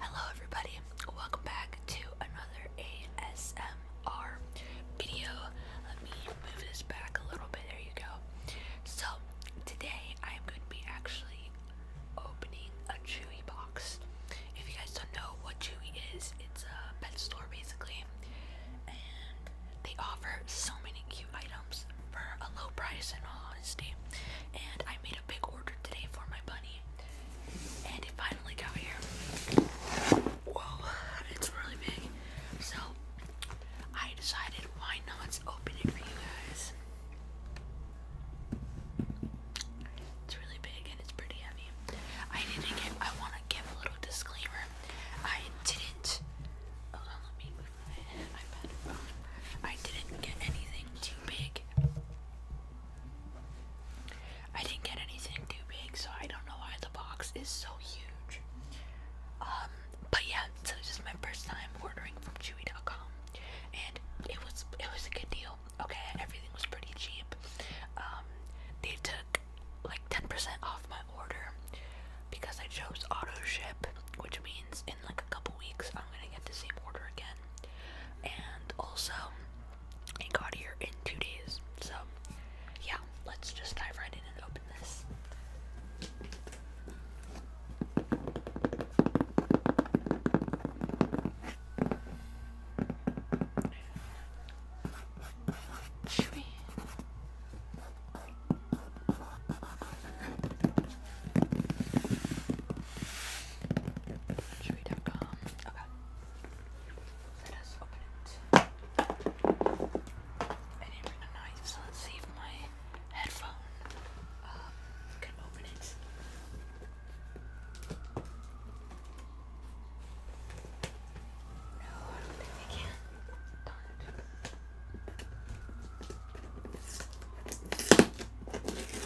Hello everybody, welcome back to another ASMR video. Let me move this back a little bit, there you go. So, today I am going to be actually opening a Chewy box. If you guys don't know what Chewy is, it's a pet store basically. And they offer so many cute items for a low price and all honesty. And I made a big order today for my bunny and it finally got here. Whoa, it's really big. So I decided why not open it for you guys. It's really big and it's pretty heavy. I didn't I wanna give a little disclaimer. I didn't hold on let me move my iPad. I didn't get anything too big. I didn't get anything too big, so I don't know why the box is so huge. Um, but yeah, so this is my first time ordering from Chewy.com, and it was it was a good deal. Okay, everything was pretty cheap. Um, they took like 10% off my order because I chose auto ship, which means like a couple weeks I'm gonna get the same order again. And also, it got here in two days. So, yeah, let's just dive right in and open this. Chewy.com. Okay. Let us open it. I didn't bring a knife, so let's see if my headphone um, can open it. No, I don't think I can. Darn it.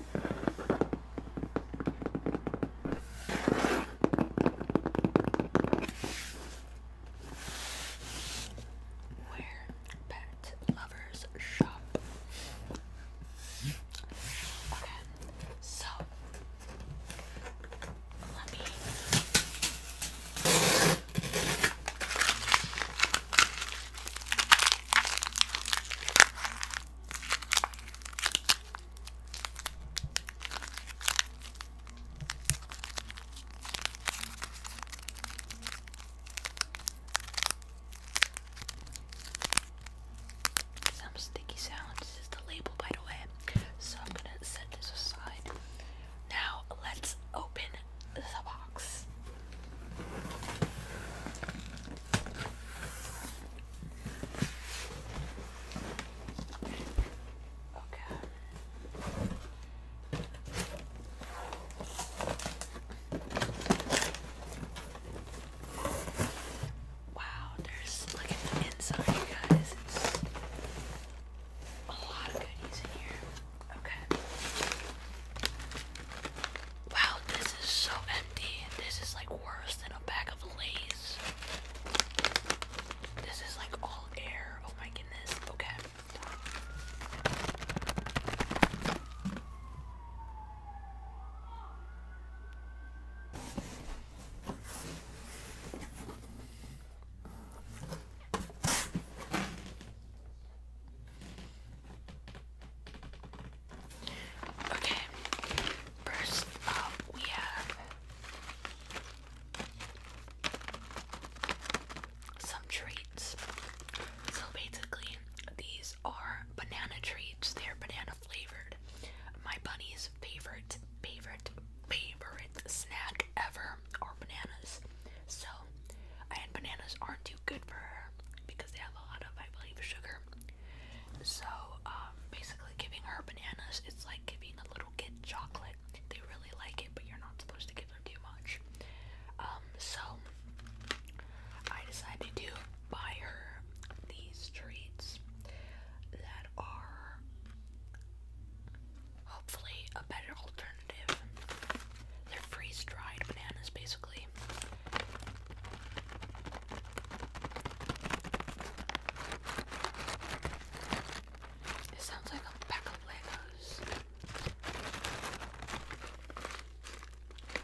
Where pet lovers shop. Okay, so let me some sticky sounds. This is the label, by the way. So I'm gonna set this aside. Now let's open the box box. Okay. Wow, there's look at the inside, you guys. It's a lot of goodies in here. Okay. Wow, this is so empty. This is like worse than a bag of Lay's. This is like all air. Oh my goodness. Okay. Okay, first up we have some treats. So basically, these are banana treats, they're banana flavored. My bunny's favorite, favorite, favorite snack ever are bananas. So, and bananas aren't good for her because they have a lot of, I believe, sugar. So, um, basically, giving her bananas its like giving a little kid chocolate. They really like it, but you're not supposed to give them too much. Um, so I decided to buy her these treats that are hopefully a better alternative. They're freeze dried bananas, basically. It sounds like a pack of Legos.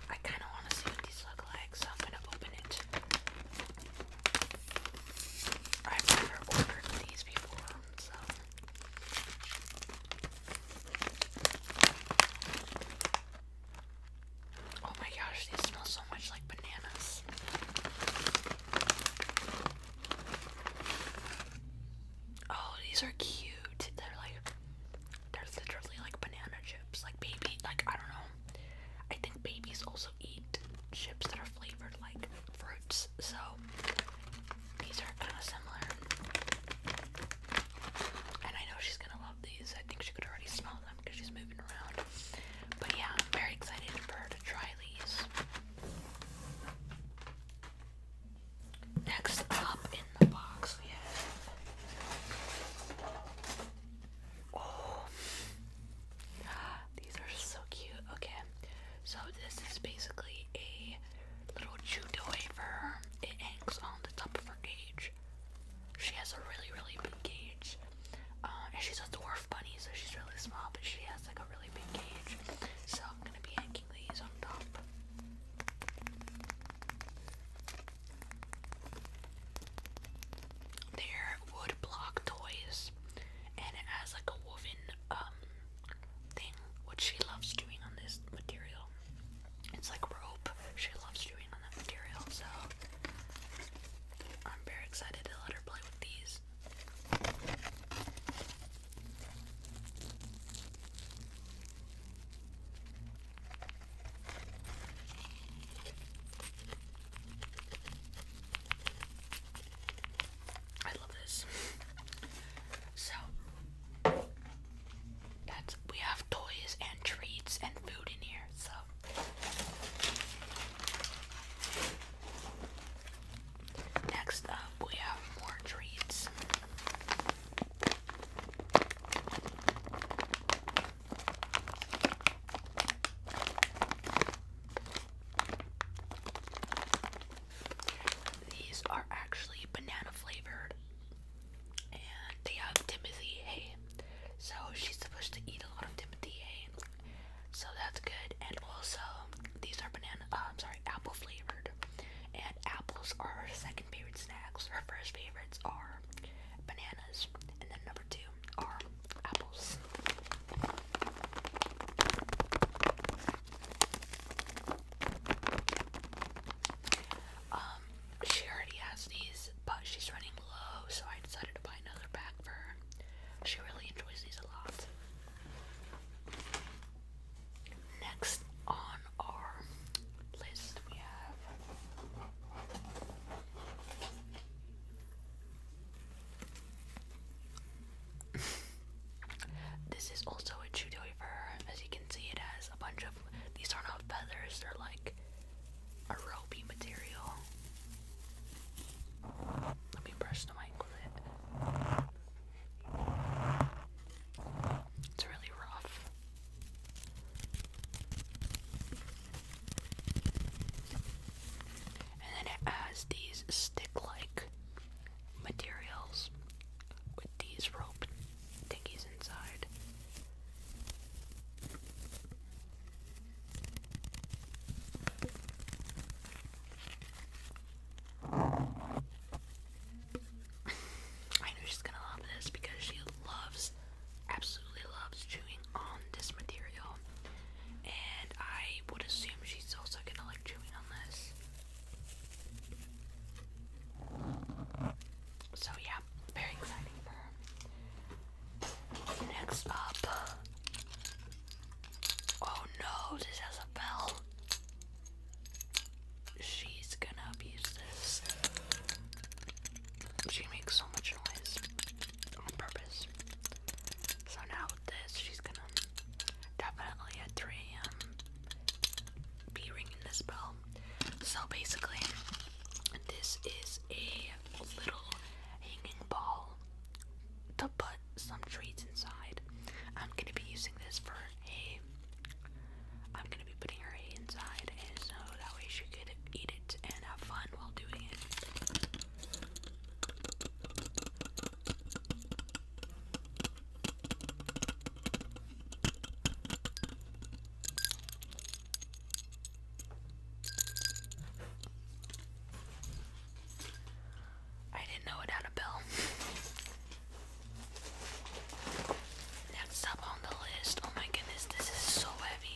I kind of want to see what these look like, so I'm going to open it. I've never ordered these before, so Oh my gosh, these smell so much like bananas. Oh, these are cute. They're like they're literally like banana chips. Like baby like I don't know. I think babies also eat chips that are flavored like fruits, so these are kinda similar. And I know she's gonna love these. I think she could already smell them because she's moving around. But yeah, I'm very excited for her to try these. Next up in the box we have. Oh, these are so cute. Okay, so this is basically a little jute toy for her. It hangs on the top of her cage. She has a really, really big cage. Uh, and she's a dwarf bunny, so she's really small, but she has like a really big cage. So I'm gonna be hanging these on top. There are wood block toys, and it has like a woven um thing, What she loves doing on this material. It's like rope. She loves doing on that material, so I'm very excited to let her play with these. I love this. so, that's we have toys and treats and food in here, so next up we have more treats. These are actually banana flavored and they have Timothy hay. So she's supposed to eat a lot of Timothy hay. So that's good. And also, these are banana, uh, I'm sorry, apple flavored. And apples are her second favorite snacks. Her first favorites are bananas. And then number two are apples. Um, she already has these, but she's running low, so I decided to buy another bag for her. She really enjoys these a lot. Next on our list, we have this is also a chew toy for her. As you can see, it has a bunch of these are not feathers, they're like a ropey material. Let me brush the mic with it. It's really rough. And then it has these stick like materials with these rope Dickie's inside. I know she's gonna love this because she loves, absolutely loves chewing on this material. And I would assume she's also gonna like chewing on this. So yeah, very exciting for her. Next up. Oh no, this has a bell. She's gonna abuse this. She makes so much noise on purpose. So now with this, she's gonna definitely at 3 a.m be ringing this bell. So basically, this is a little hanging ball to put some treats inside. I'm gonna be using this for hay. am gonna be putting her inside, and so that way she could eat it and have fun while doing it. I didn't know it had a bell. Next up on the list. Oh my goodness, this is so heavy.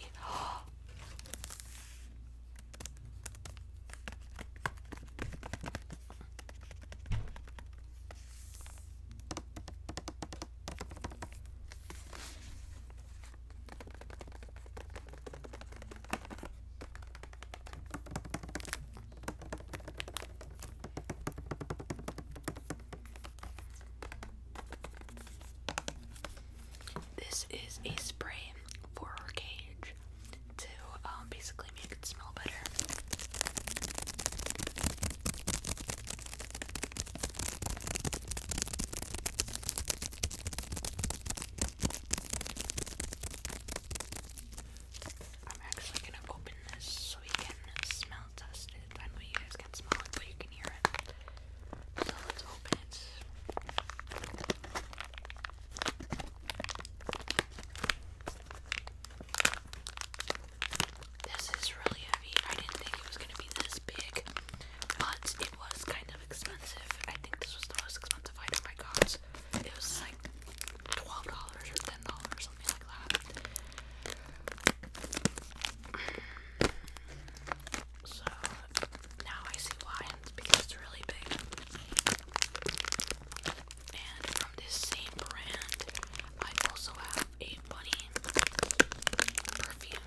This is a spray for her cage to um, basically I'm actually gonna open this so we can smell test it. I you guys can smell it, but you can hear it. So let's open it. This is really heavy. I didn't think it was gonna be this big, but it was kind of expensive. I think this was the most expensive item My God, It was like twelve dollars or ten dollars or something like that. So now I see why it's because it's really big. And from this same brand, I also have a bunny perfume.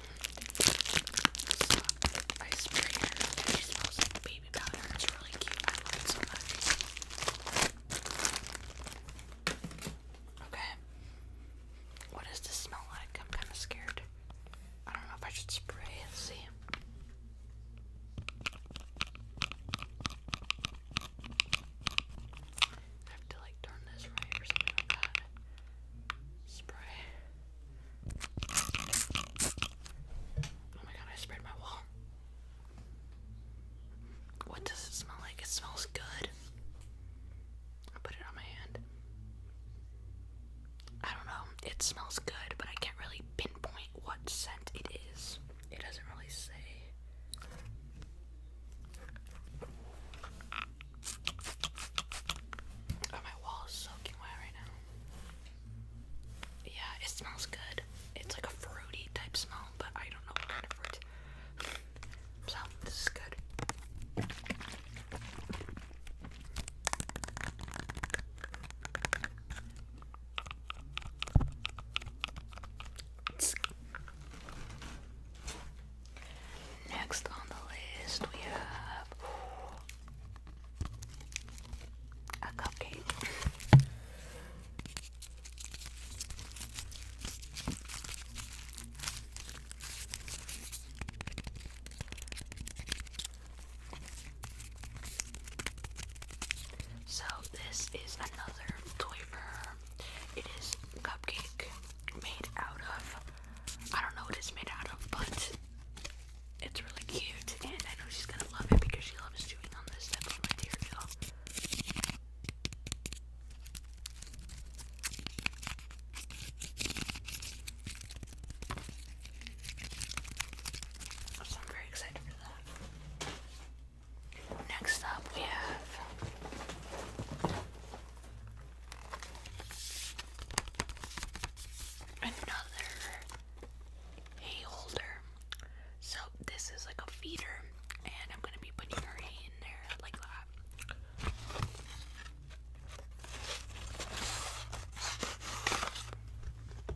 I spray her and smells like baby powder. It's really cute. Okay. What does this smell like? I'm kind of scared. I don't know if I should spray. let see. I have to like turn this right or something like that. Spray. Oh my god, I sprayed my wall. What does it smell like? It smells good. I put it on my hand. I don't know. It smells good, but I can't really pinpoint what scent it is. It doesn't really say. Oh, my wall is soaking wet right now. Yeah, it smells good. It's like a fruity type smell, but I don't know what kind of fruit. So, this is good. Next on the list, we have a cupcake. So, this is another toy it is cupcake made out of, I don't know what it's made out of, but it's really cute. And I know she's gonna love it because she loves chewing on this type I'm very excited for that. Next up, we have another hay holder. So, this is like a feeder, and I'm gonna be putting her hay in there like that.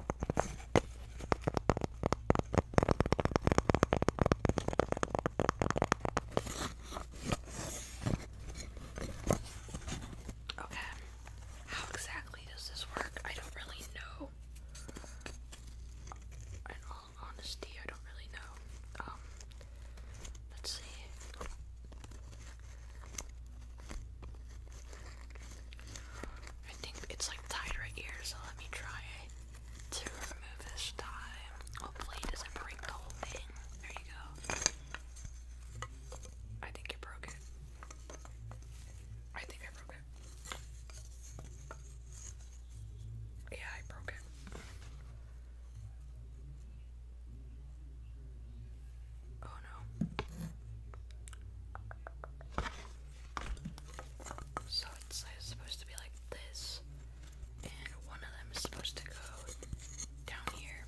Okay, how exactly does this work? I don't really know. In all honesty, I don't really know. Um, let's see. I think it's like tied right here, so let me try to remove this tie. Hopefully it doesn't break the whole thing. There you go. I think it broke it. I think I broke it. Yeah, I broke it. Oh, so it's supposed to be like this, and one of them is supposed to go down here.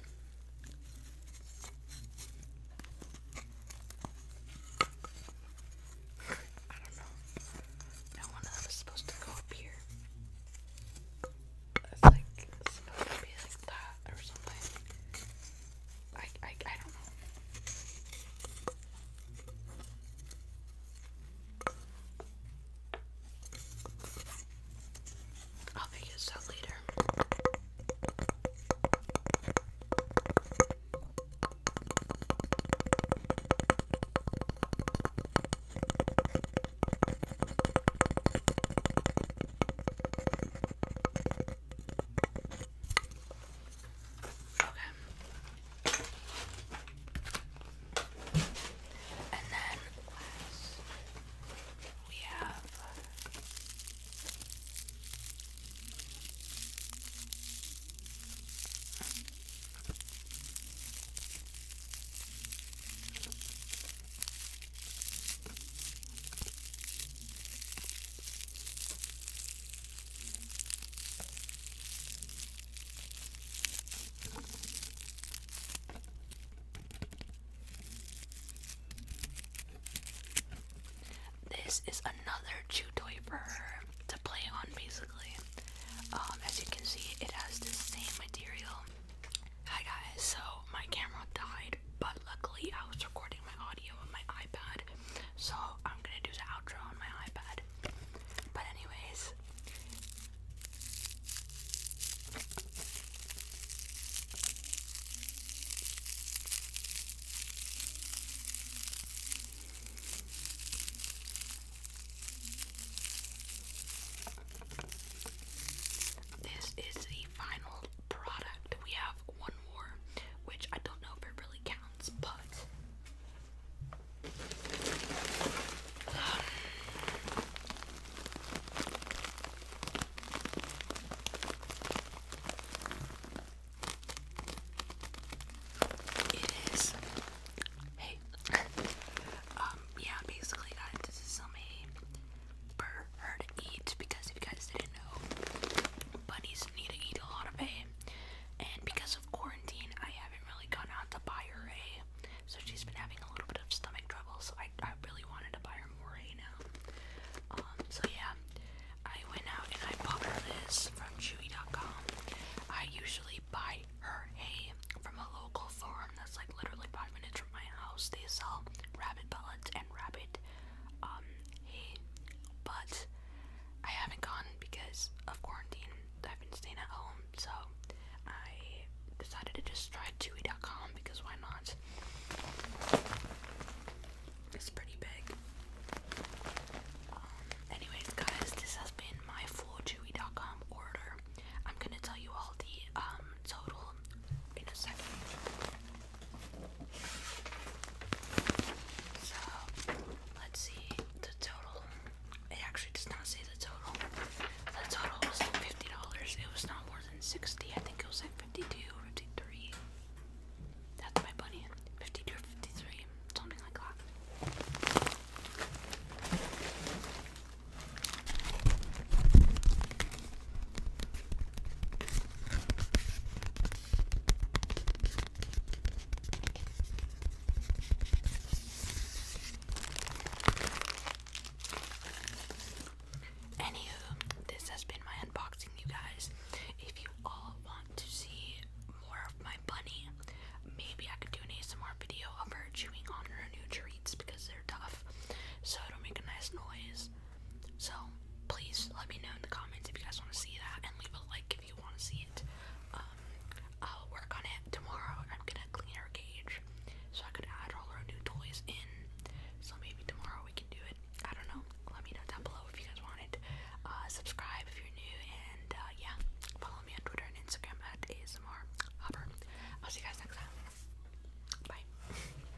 I don't know. Now one of them is supposed to go up here. It's like supposed to be like that or something. I, I, I don't know. I'll figure this out later. Okay. And then last, we have this is another chew toy for her to play on, basically. Um, as you can see, it has the same material. Hi guys, so my camera died but luckily, I was recording my audio on my iPad, so I'm gonna do the outro on my iPad. But, anyways, this is the final product. We have one more, which I don't know if it really counts, but. Um, it is. Hey. um, yeah, basically, guys, this is some for her to eat because if you guys didn't know, bunnies need to eat a lot of hay. And because of quarantine, I haven't really gone out to buy her hay. So she's been having a little bit of stomach trouble, so I, I really wanted to buy her more hay now. Um, so yeah, I went out and I bought her this from Chewy.com. I usually buy her hay from a local farm that's like literally five minutes from my house. They sell rabbit pellets and rabbit um, he, but I haven't gone because of quarantine. I've been staying at home, so I decided to just try Chewy.com because why not? It's pretty big. Um, anyways, guys, this has been my full Chewy.com order. I'm gonna tell you all the um total in a second. So let's see the total. It actually does not say the total. The total was fifty dollars. It was not more than sixty. I think it was like fifty-two That's my buddy. Fifty-two fifty-three, something like that. Anywho, this has been my unboxing, you guys. If you all want to see more of my bunny, maybe I could do an ASMR video of her chewing on her new treats because they're tough. So it make a nice noise. So please let me know in the comments if you guys want to see that and leave a like if you want to see it. Um, I'll work on it tomorrow. I'm gonna clean our cage so I could add all our new toys in. So maybe tomorrow we can do it. I don't know. Let me know down below if you guys want it. Uh, subscribe if you're new and uh, yeah, follow me on Twitter and Instagram at ASMR Hopper. I'll see you guys next time. Bye.